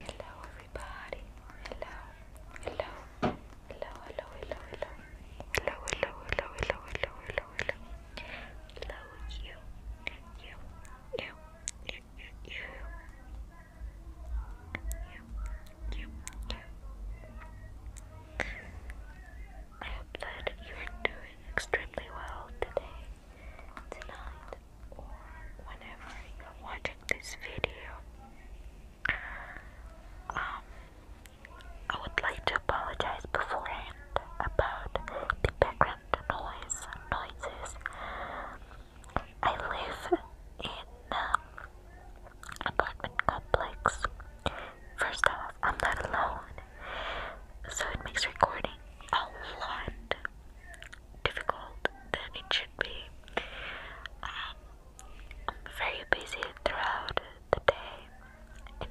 Hello everybody. Hello. Hello. Hello. Hello. Hello. Hello. Hello. Hello. Hello. Hello. Hello. Hello. Hello. Hello. Hello. You. You. You. You. You. You. You. You. I hope that you are doing extremely well today, tonight, or whenever you're watching this video, um, I would like to apologize beforehand about the background noise noises. I live in an um, apartment complex. First off, I'm not alone, so it makes recording a lot difficult than it should be. Um, I'm very busy throughout the day, and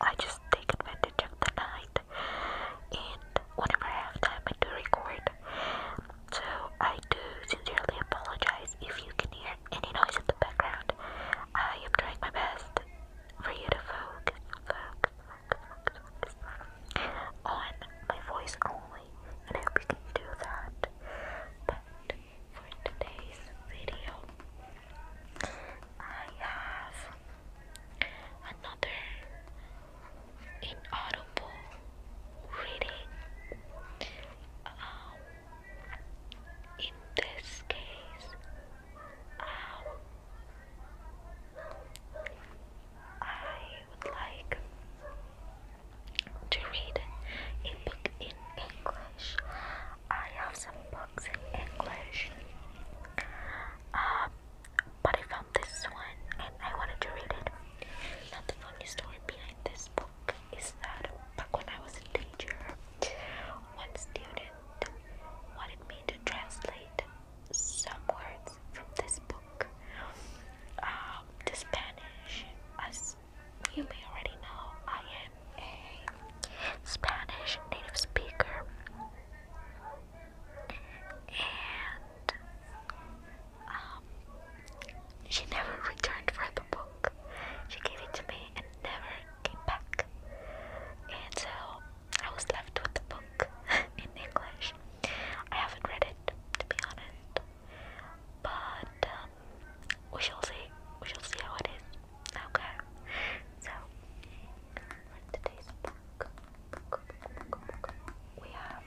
I just take advantage of the night. And whenever I have time, I do record. So I do sincerely apologize if you can hear any noise in the background. I am trying my best for you to focus, focus, on my voice only, and I hope you can do that. But for today's video, I have another inaudible reading. Um, in this case, um, I would like to read a book in English. I have some books in English, um, but I found this one and I wanted to read it. Now, the funny story behind this book is that back when I was a teacher, one student wanted me to translate some words from this book. Um, the Spanish, as you may already know, I am a Spanish native speaker, and um, she never returned for the book. She gave it to me and never came back, and so I was left with the book in English. I haven't read it, to be honest. But um, we shall see. We shall see how it is. Okay. So for today's book, we have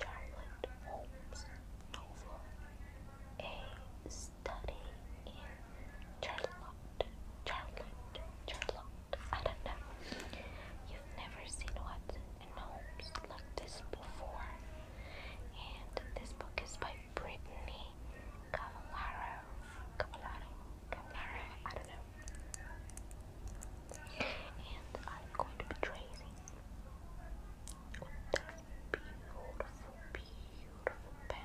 Charlotte Holmes novel, a study in Charlotte, Charlotte, Charlotte, I don't know. You've never seen Watson and Holmes like this before. And this book is by Brittany Cavallaro. Cavallaro, Cavallaro, I don't know. And I'm going to be tracing with this beautiful, beautiful pen.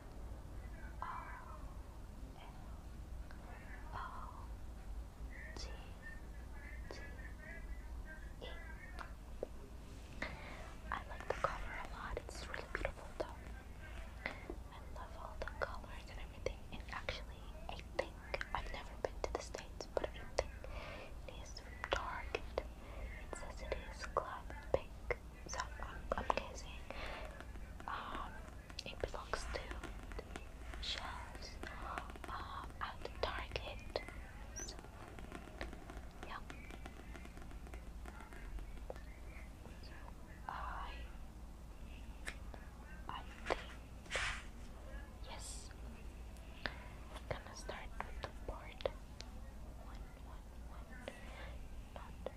R-O-N-O-G-G-E. I like the cover a lot, it's really beautiful though. I love all the colors and everything, and actually, I think I've never been to the States, but I think it is from Target. It says it is Club Pink, so I'm, guessing. Um, it belongs to the shelves at Target. yeah. So I, I think yes. I'm gonna start with the board. One, one, one.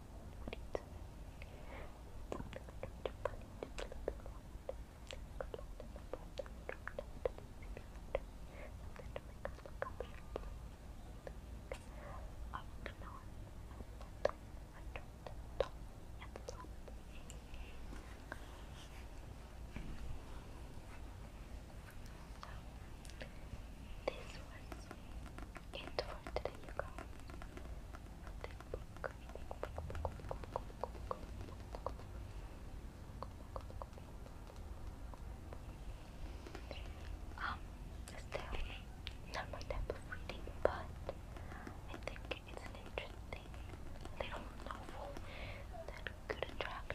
this was it for today, you guys. Um, it's not my type of reading, but I think it's an interesting little novel that could attract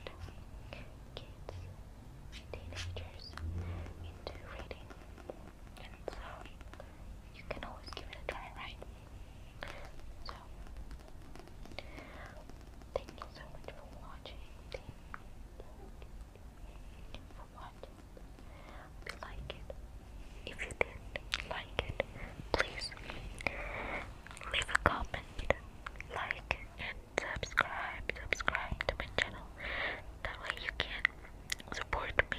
kids, teenagers into reading. And so you can always give it a try, right? So, thank you so much for watching. Thank you for watching. If you like it, if you did like it, please leave a comment, like, and subscribe. Subscribe to my channel. That way you can support me